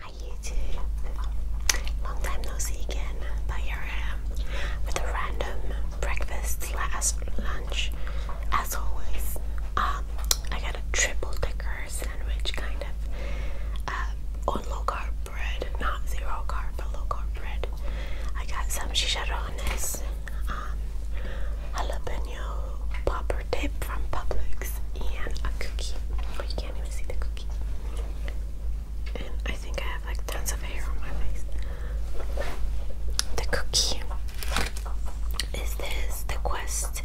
Hi YouTube! Long time no see again, but here I am with a random breakfast slash lunch as always. Um, I got a triple decker sandwich kind of uh, on low carb bread, not zero carb, but low carb bread. I got some chicharrones, um, jalapeno popper dip from Publix, and a cookie. Oh, you can't even see the cookie. And I think I have like tons of hair on my face. The cookie is this the Quest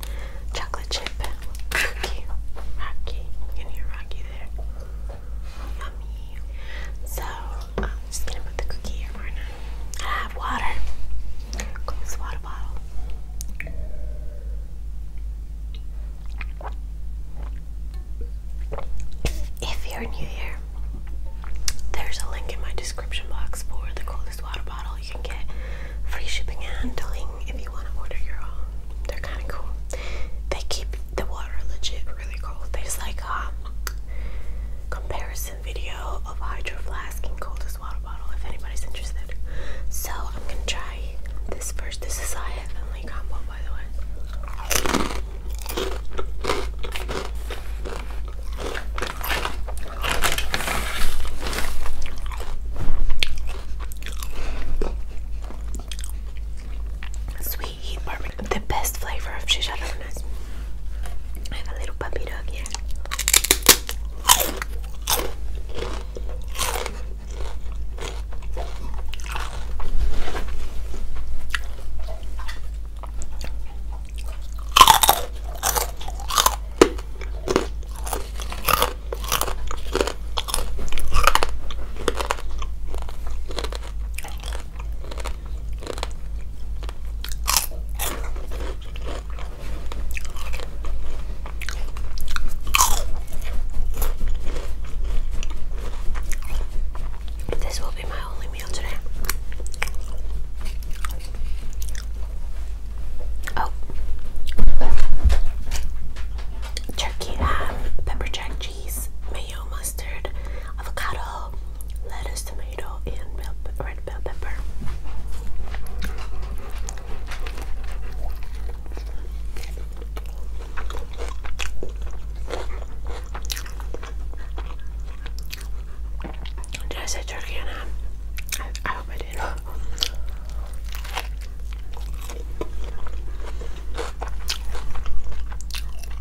chocolate chip cookie. Rocky, you hear Rocky there. Yummy. So I'm just gonna put the cookie here, Marna. I have water. Got water bottle. If you're new here, there's a link in my description box for the coolest water bottle. You can get free shipping and handling if you want to order your own. They're kind of cool. They keep the water legit really cold. There's like a um, comparison video of hydro flask and coldest water bottle if anybody's interested. So I'm gonna try this first. This is a heavenly combo by the way. Sweet the best flavor of chicharrones. I have a little puppy dog here. This will be my only meal today. Oh, turkey, um, pepper jack cheese, mayo, mustard, avocado, lettuce, tomato, and red bell pepper. Did I say turkey or I hope I did.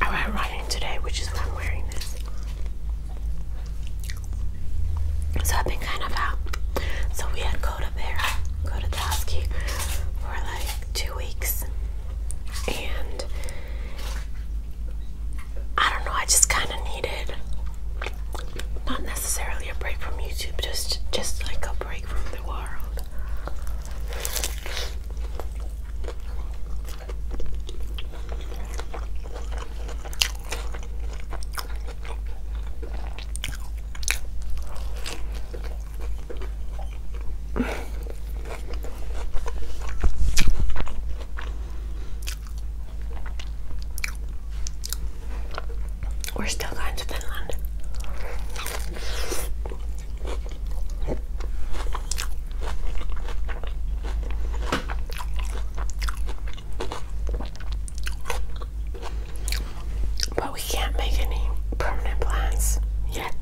I went running today, which is why I'm wearing this. So I've been kind of out. So we had go to Bear, go to Toski for like two weeks. And I don't know, I just kind of needed not necessarily a break from YouTube, just just like a break from the world. We're still going to Finland. But we can't make any permanent plans yet.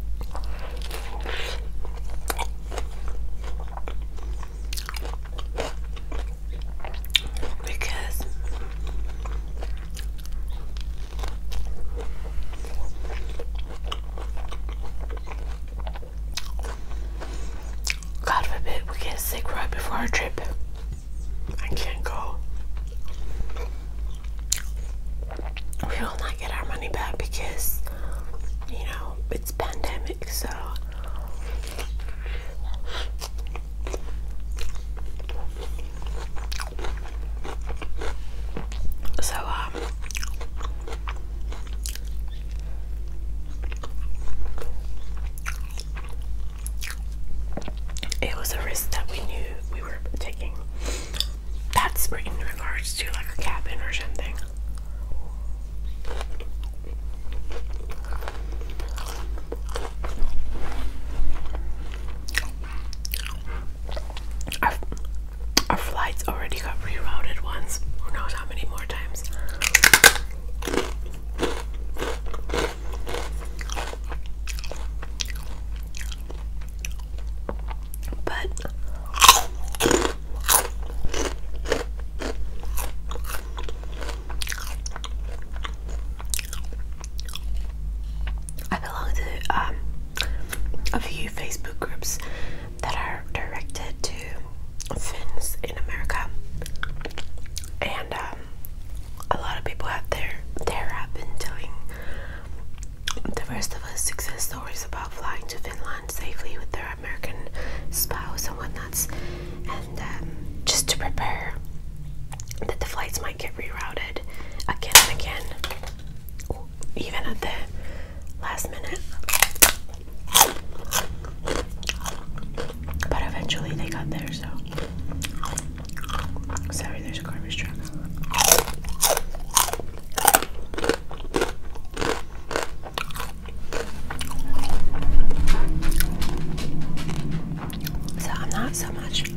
Because God forbid we get sick right before our trip. I can't go. We will not get our money back because, you know, it's pandemic, so. So, um, it was a risk that we knew we were taking. That's in regards to like a cabin or something our flights already got rerouted once. Who knows how many more times? But I belong to um a few Facebook groups that are directed to Finns in America, and um, a lot of people out there there have been telling the rest of us success stories about flying to Finland safely with their American spouse and whatnots, and um, just to prepare that the flights might get rerouted again and again even at the last minute. But eventually they got there, so. Sorry, there's a garbage truck. So I'm not so much much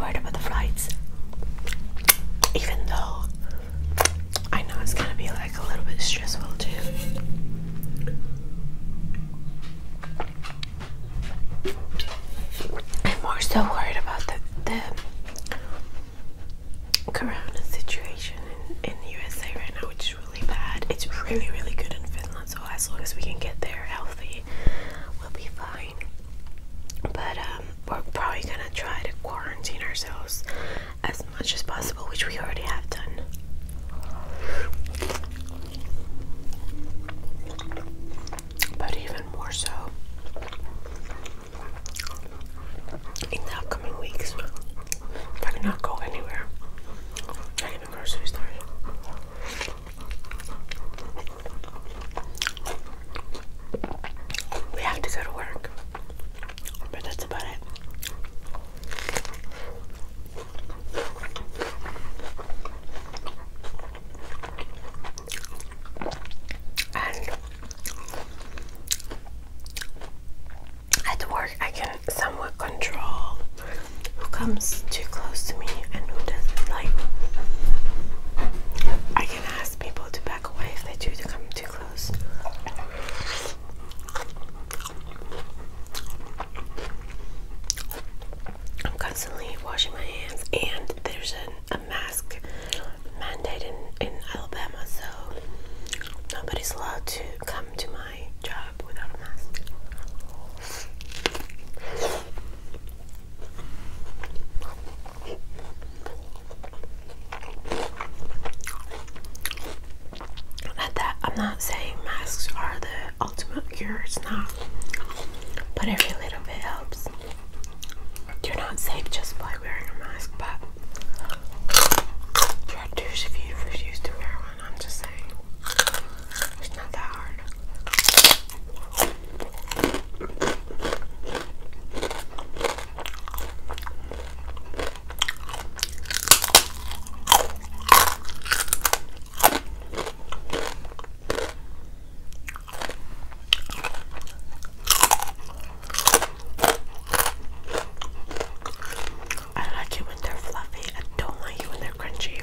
worried about the flights, even though I know it's gonna be like a little bit stressful too. I'm more so worried about the, the corona situation in, in USA right now, which is really bad. It's really, really good in Finland, so as long as we can get there healthy, we'll be fine. But um, we're probably gonna try to quarantine ourselves as much as possible, which we already have done. But even more so in the upcoming weeks, I cannot go anywhere, not even grocery we have to go to work. But that's about it. at work, I can somewhat control who comes too close to me and who doesn't. Like, I can ask people to back away if they do to come too close. I'm constantly washing my hands, and there's a, a mask mandate in, in Alabama, so nobody's allowed to come to my job without a mask. I'm not saying masks are the ultimate cure, it's not. But every little bit helps. You're not safe just by wearing a mask, but you're if you refuse to wear one. I'm just saying. It's not that hard. I like it when they're fluffy. I don't like it when they're crunchy.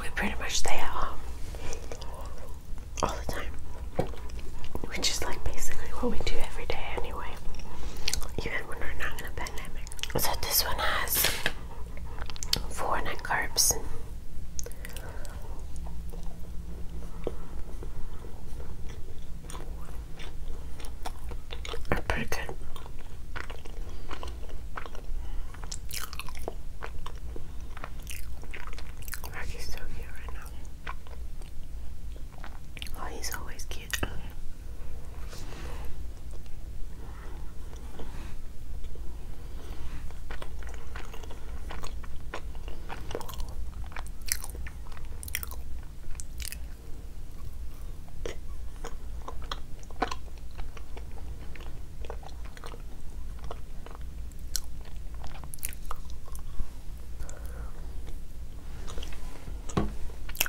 we pretty much stay at home all the time, which is like basically what we do every day anyway, even when we're not in a pandemic. So this one has four net carbs. Are pretty good. Rocky's so cute right now. Oh, he's always cute.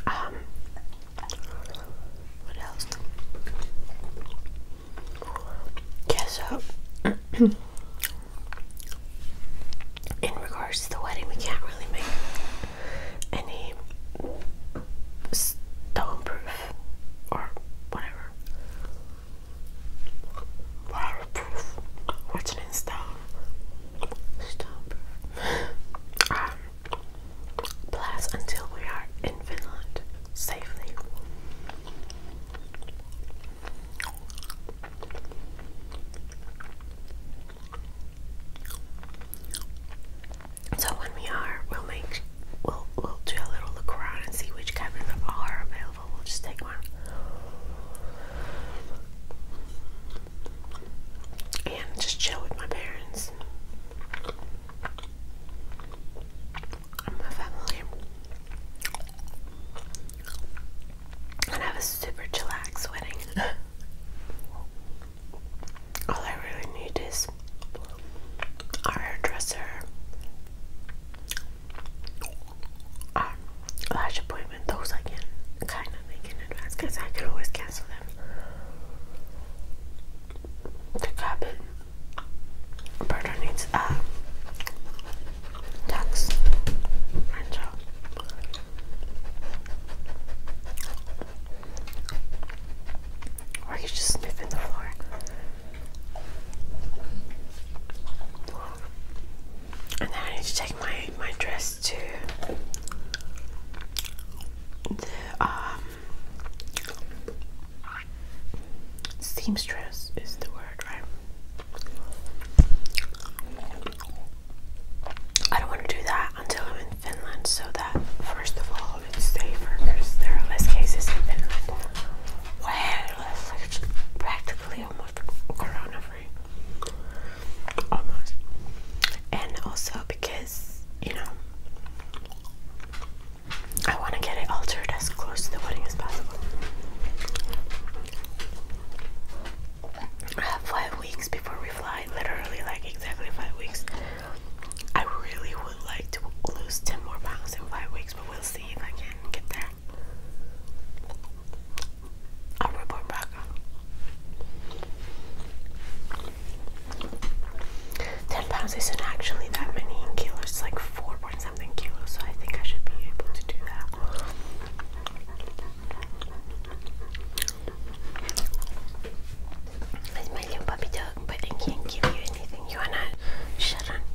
Um, what else? Yeah, so in regards to the wedding, we can't really make any stone proof or whatever. Waterproof. What's an install? Stop. um, plus until we are in Finland safely. So when we are, we'll make we'll we'll do a little look around and see which cabins are available. We'll just take one. And just chill with my parents my family. And have a super chillax wedding. all I really need is a hairdresser, um, lash appointment. Those I can kind of make in advance because I can always cancel them. The cabin burner needs a tax rental. Or you just sniffing the floor. And then I need to take my, my dress to the um, seamstress is the word, right? I don't want to do that until I'm in Finland so that first of all Solid state workers. There are less cases Way less. practically almost corona Almost. Oh, and also because, you know, I want to get it altered as close to the wedding as possible. I have five weeks before we fly, literally, like exactly five weeks. I really would like to lose 10 more pounds in five weeks, but we'll see if I can get there. I'll report back. Ten pounds isn't actually that many kilos, it's like four point something kilos, so I think I should be able to do that. It's my little puppy dog, but I can't give you anything. You wanna shut up?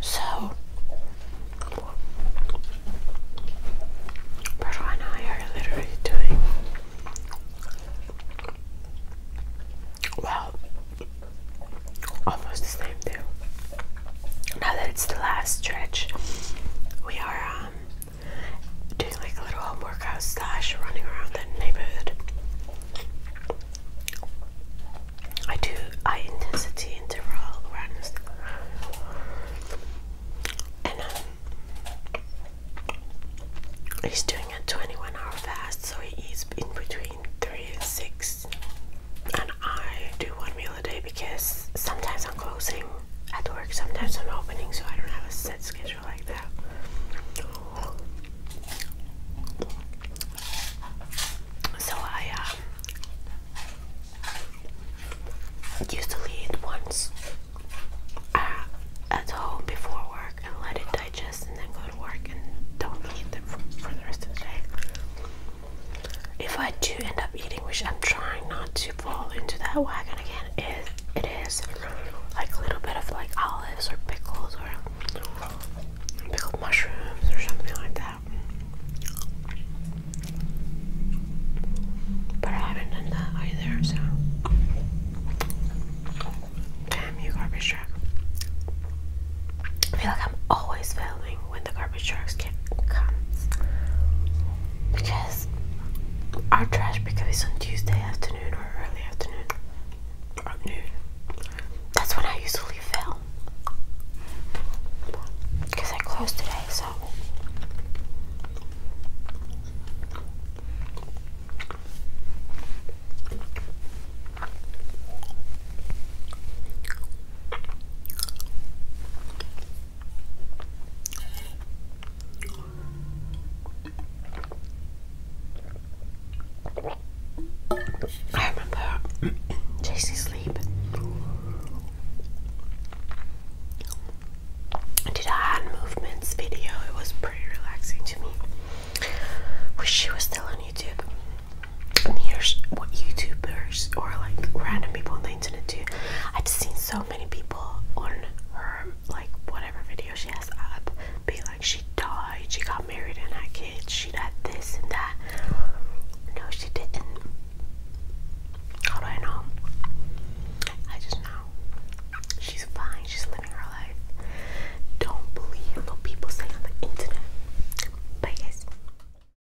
So, Pedro and I are literally doing well, almost the same thing now that it's the last stretch, we are um, doing like a little home workout slash running around the neighborhood. I do high intensity interval runs, and um, he's doing a 21 hour fast, so he eats in between 3 and 6 and I do one meal a day because sometimes I'm closing at work, sometimes I'm opening, so I don't have a set schedule like that. So I um, used to eat once uh, at home before work and let it digest and then go to work and don't eat it for the rest of the day if I do end up eating, which I'm trying not to fall into that wagon again, is it is like a little bit of like olives or pickles or pickled mushrooms or something like that. But I haven't done that either, so damn you, garbage truck. I feel like I'm always when the garbage trucks can comes because our trash pickup is on Tuesday afternoon or early afternoon noon. That's when I usually film because I closed today, so. I remember chasing sleep. I did a hand movements video. It was pretty relaxing to me. Wish she was still on YouTube and here's what YouTubers or like random people on the internet do. I've seen so many people on her like whatever video she has up be like she died, she got married and had kids, she had this and that. No, she didn't. How do I know? I just know. She's fine, she's living her life. Don't believe what people say on the internet. Bye guys.